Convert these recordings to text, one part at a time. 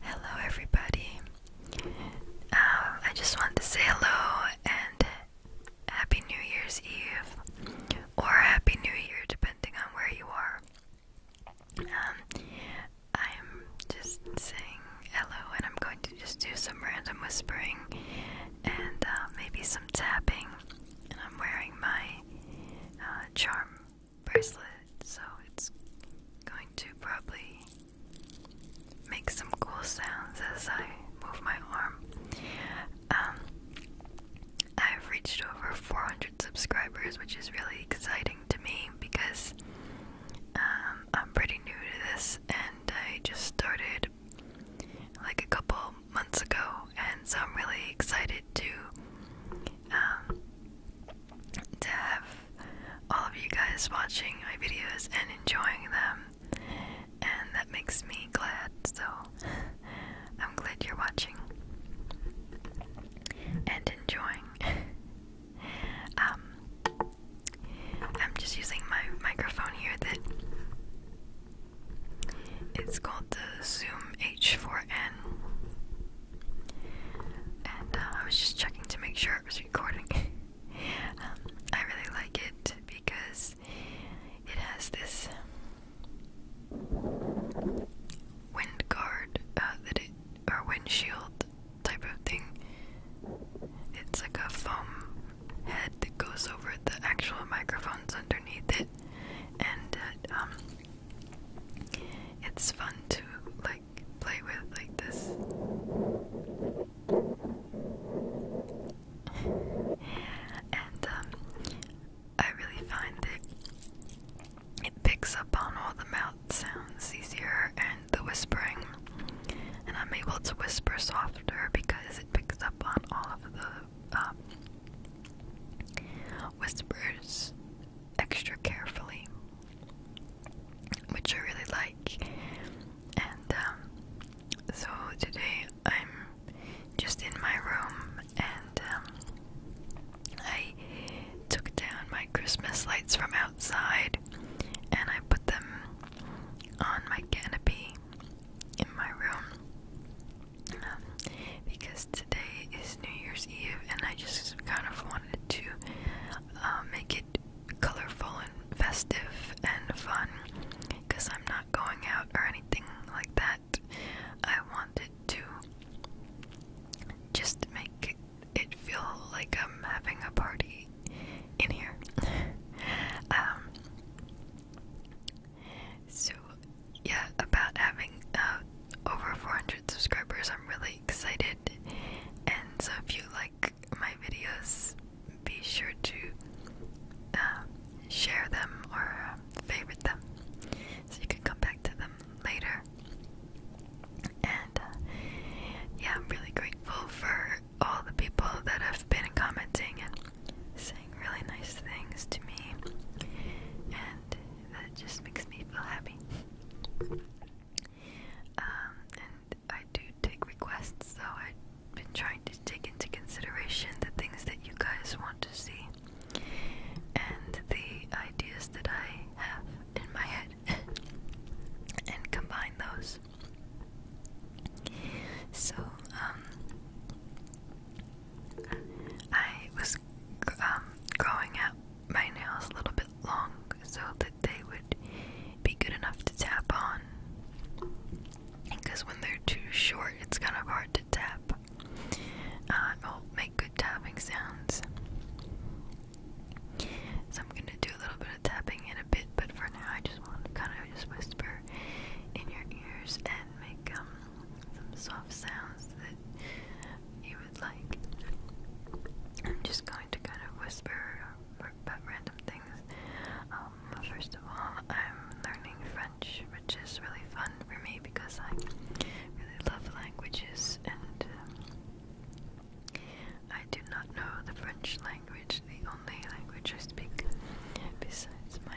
Hello, everybody. Um, I just want to say hello and Happy New Year's Eve or Happy New Year, depending on where you are. Um, I'm just saying hello, and I'm going to just do some random whispering and uh, maybe some tapping. And I'm wearing my uh, charm bracelet, so it's going to probably make some cool sounds as I move my arm. Um, I've reached over 400 subscribers, which is really exciting to me because um, I'm pretty new to this and I just started like a couple months ago, and so I'm really excited to um, to have all of you guys watching my videos and enjoying them, and that makes me glad. So I'm glad you're watching and enjoying. Um, I'm just using my microphone here that it's called the Zoom H4n. And uh, I was just checking to make sure it was recording. Um, I really like it because it has this wind guard uh, that it or windshield type of thing. It's like a foam head that goes over the actual microphones underneath it, and uh, um, it's fun to like play with like this. and um, I really find that it picks up on all the mouth sounds easier and the whispering. And I'm able to whisper softer because it picks up on all of the um, whispers extra carefully, which I really like. And um, so today I'm just in my room and um, I took down my Christmas lights from outside and I put them on my canopy in my room because today is New Year's Eve, and I just kind of wanted to uh, make it colorful and festive and fun because I'm not going out or anything like that. I wanted to just make it feel like I'm having a party in here. Um, so, yeah, about having uh, over 400 subscribers. I'm really excited. And so, if you like my videos, be sure to uh, share them or um, favorite them so you can come back to them later. And uh, yeah, I'm really grateful for all the people that have been commenting and saying really nice things to me. And that just makes me feel happy. Um, and I do take requests, so I've been trying to take into consideration the things that you guys want to see and the ideas that I have in my head and combine those. So, um, I was um, growing out my nails a little bit long so that they would be good enough to tap on. Because when they're too short, it's kind of hard to tap. Uh, make good tapping sounds. So I'm gonna do a little bit of tapping in a bit, but for now I just want to kind of just whisper in your ears and make um, some soft sounds that you would like. I'm just going to kind of whisper about random things. Um, first of all, I'm learning French, which is really fun for me because I really love languages and um, I do not know the French language, the only language I speak besides my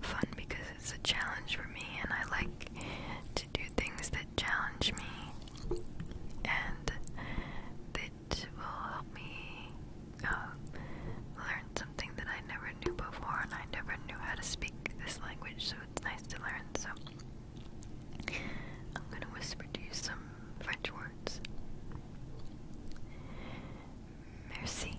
fun because it's a challenge for me, and I like to do things that challenge me and that will help me uh, learn something that I never knew before, and I never knew how to speak this language, so it's nice to learn. So, I'm going to whisper to you some French words. Merci.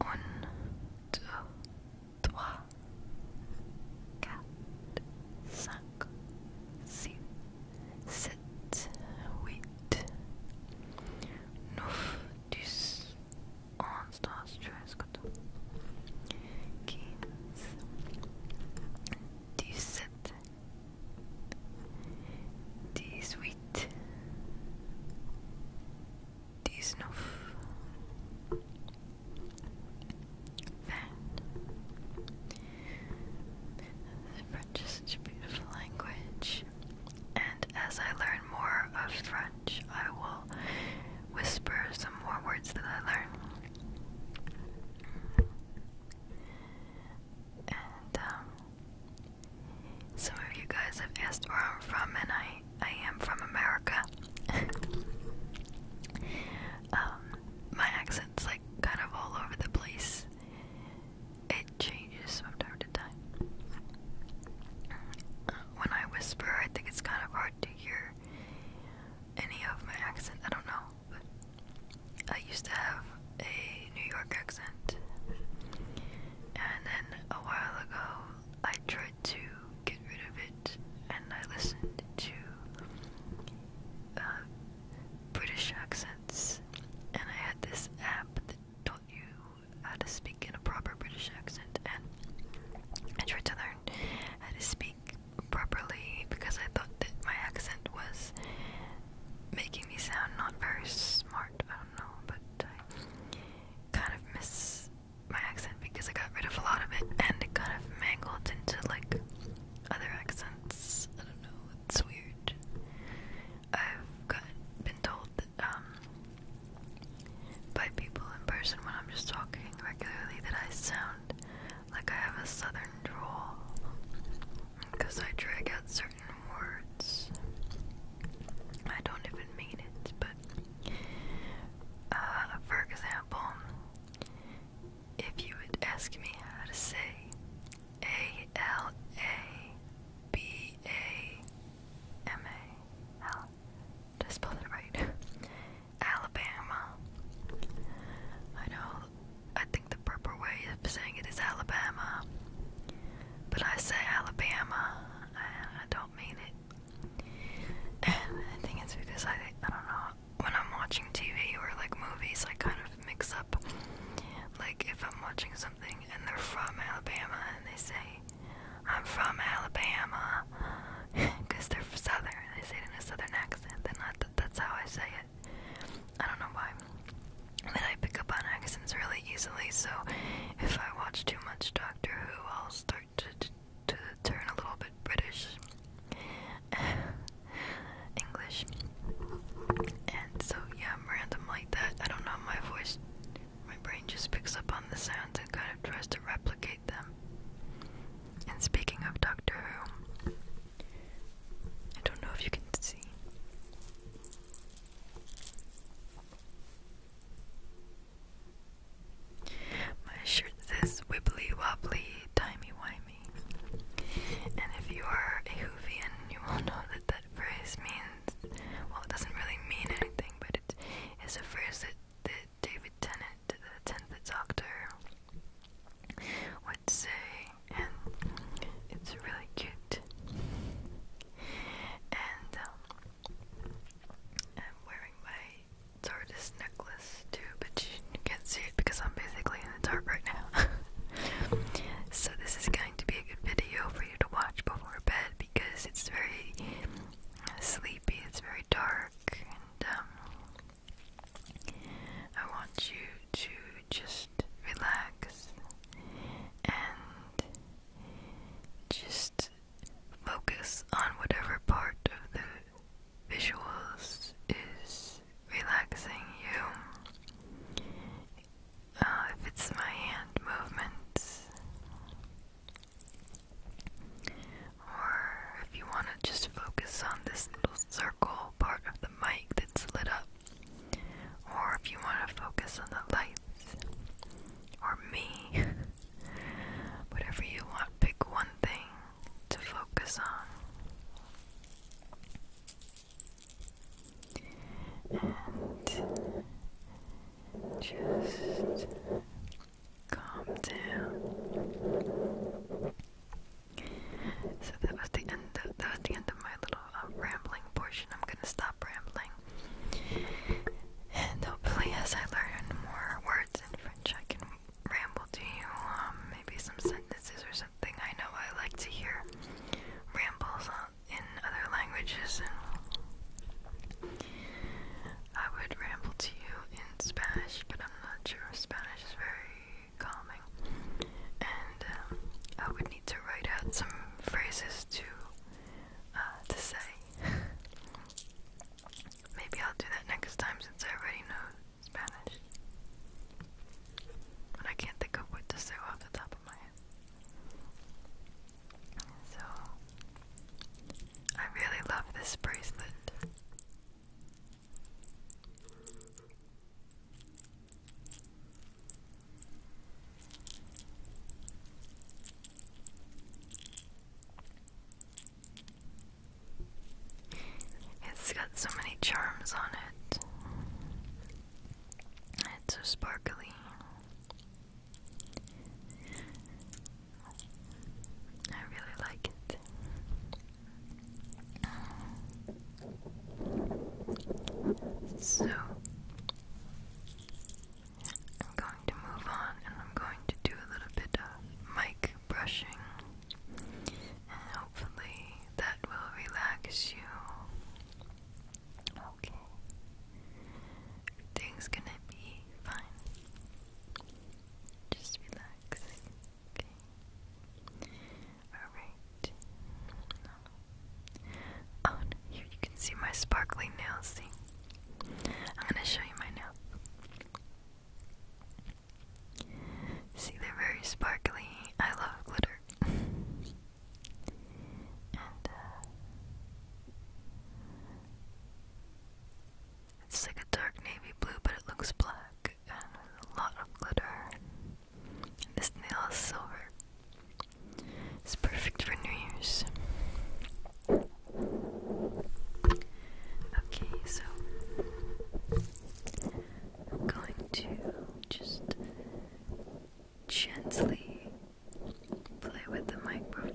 Un, deux, trois, quatre, cinq, six, sept, huit, neuf, dix, onze, douze, quatorze, quinze, dix-sept, this huit dix-neuf, vingt. French is such a beautiful language, and as I learn more of French, I will whisper some more words that I learn. Um, some of you guys have asked where I'm from, and I I am from America. Um, my accent's like kind of all over the place. It changes from time to time. Uh, when I whisper, I think it's kind of hard to hear any of my accent. I don't know. I used to have a New York accent, and then a while ago I tried to get rid of it, and I listened to uh, British accents, and I had this app that taught you how to speak in a proper British accent, and I tried to learn how to speak properly because I thought that my accent was making me sound not very smart. I don't know, but I kind of miss my accent because I got rid of a lot of it and it kind of mangled into like other accents. I don't know, it's weird. I've been told um, by people in person when I'm just talking regularly that I sound like I have a southern drawl because I drag out certain words. I don't even mean it, but uh, for example, if you would ask me how to say A L A B A M A L, just spell it right. Alabama. I know I think the proper way of saying it is Alabama. But I say Alabama, and I don't mean it. And I think it's because I, I don't know, when I'm watching TV or like movies, I kind of mix up. Like if I'm watching something and they're from Alabama and they say, I'm from Alabama, because they're southern, they say it in a southern accent, then I, that's how I say it. I don't know why. But I pick up on accents really easily, so if I watch too much Doctor Who, I'll start to, to turn a little bit British. English. And so, yeah, I'm random like that. I don't know, my voice, my brain just picks up on the sounds and kind of tries to replicate them. And speaking of Doctor Who, I don't know if you can see. My shirt says wibbly wobbly timey wimey. And if you are a Hoovian, you will know that that phrase means well, it doesn't really mean anything, but it is a phrase that, David Tennant, the 10th Doctor, would say, and it's really cute. And um, I'm wearing my tortoise necklace too, but you can't see it because I'm basically in the dark right now. so this is going to be a good video for you to watch before bed because it's very sleepy, it's very dark, and um, I want you to just relax and just focus on whatever part of the visuals is relaxing you. Uh, if it's my hand movements, or if you want to just focus on this little circle part of the mic that's lit up, or if you want to focus on the lights, or me, whatever you want, pick one thing to focus on. And just calm down. So that was the end. that was the end of my little um, rambling portion. I'm gonna stop rambling, and hopefully, as I learn more words in French, I can ramble to you. Um, maybe some sentences or something. I know I like to hear rambles in other languages, I would ramble to you in Spanish, but I'm not sure Spanish is very calming. And uh, I would need to write out some phrases to uh, to say. Maybe I'll do that next time since I already know Spanish. But I can't think of what to say off the top of my head. So, I really love this bracelet. It's got so many charms on it. It's so sparkly. I really like it. So, I'm going to move on and I'm going to do a little bit of mic brushing, and hopefully that will relax you. Okay. Everything's gonna be fine. Just relax. Alright. Oh, no, here you can see my sparkling nails. See? I'm gonna show you my nails. See, they're very sparkly. I love glitter. Uh, it's like a dark navy blue, but it looks black and a lot of glitter. this nail is silver. It's perfect for New Year's. Okay, so I'm going to just gently play with the microphone.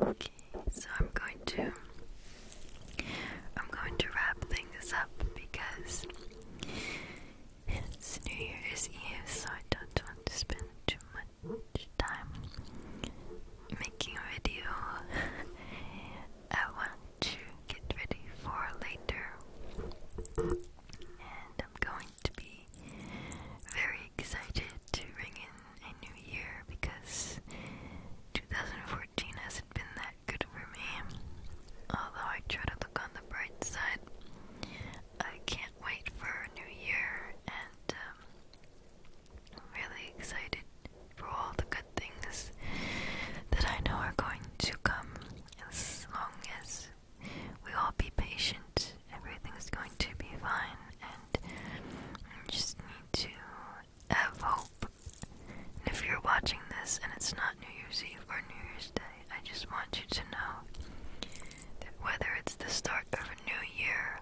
Okay, so I'm going to I'm going to wrap things up because it's New Year's Eve, so I don't want to spend too much time making a video. I want to get ready for later, and I'm going to be very excited to ring in a new year because 2014 hasn't been that good for me. Although I try to look on the bright side, I can't wait for a new year and um, I'm really excited for all the good things that I know are going to come as long as we all be patient. Everything's going to be fine, and you just need to have hope. if you're watching this and it's not New Year's Eve or New Year's Day, I just want you to know that whether it's the start of a new year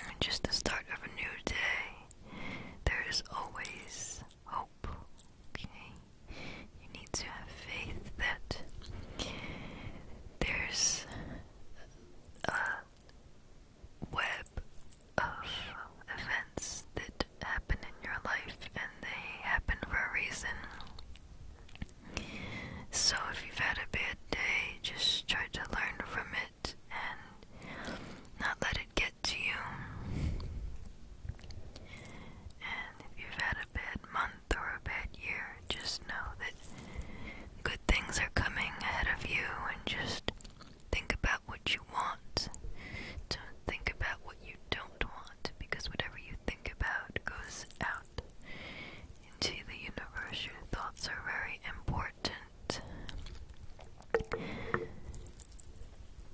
or just the start of a new day, there is always hope. Okay? you need to have faith that there's a web of events that happen in your life and they happen for a reason. So if you've had a bad day, just try to learn from it and not let it get to you. And if you've had a bad month, month or a bad year, just know that good things are coming ahead of you and just think about what you want. Don't think about what you don't want because whatever you think about goes out into the universe. Your thoughts are very important.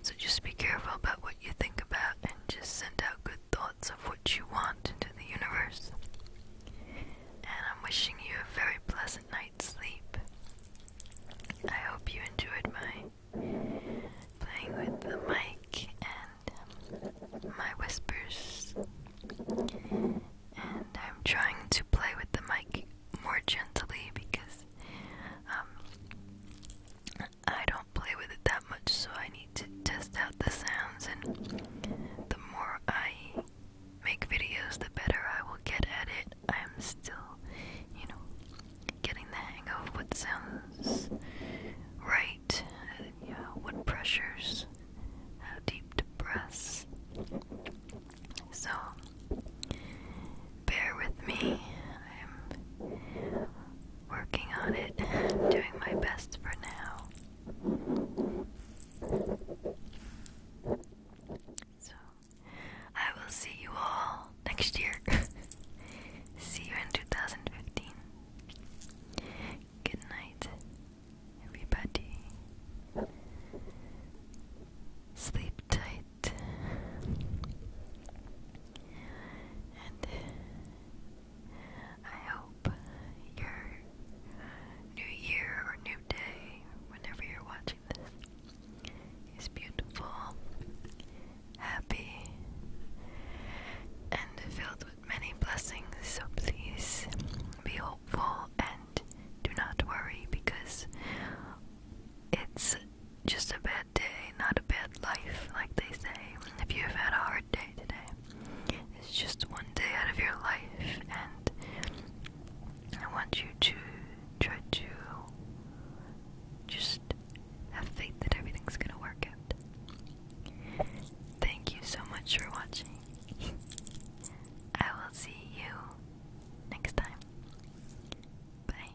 So just be careful about what you think about and just send out good thoughts of what you want into the universe. And I'm wishing you a very pleasant night's sleep. I hope you enjoyed my playing with the mic and um, my whispers. And I'm trying to play with the mic more gently because um, I don't play with it that much, so I need to test out the sounds, and the more I make videos, the better I will get at it. I'm still, you know, getting the hang of what sounds right, uh, yeah, what pressures, how deep to press. So, bear with me. I'm working on it, doing my best for now. So, I will see you all next year. see you in 2015. Good night, everybody. Sleep tight. And I hope your new year or new day, whenever you're watching this, is beautiful, happy, and filled with many blessings. So please be hopeful and do not worry because it's just a bad day, not a bad life, like they say. If you've had a hard day today. It's just one day out of your life, and I want you to try to just have faith that everything's gonna work out. Thank you so much for watching. I will see you next time. Bye.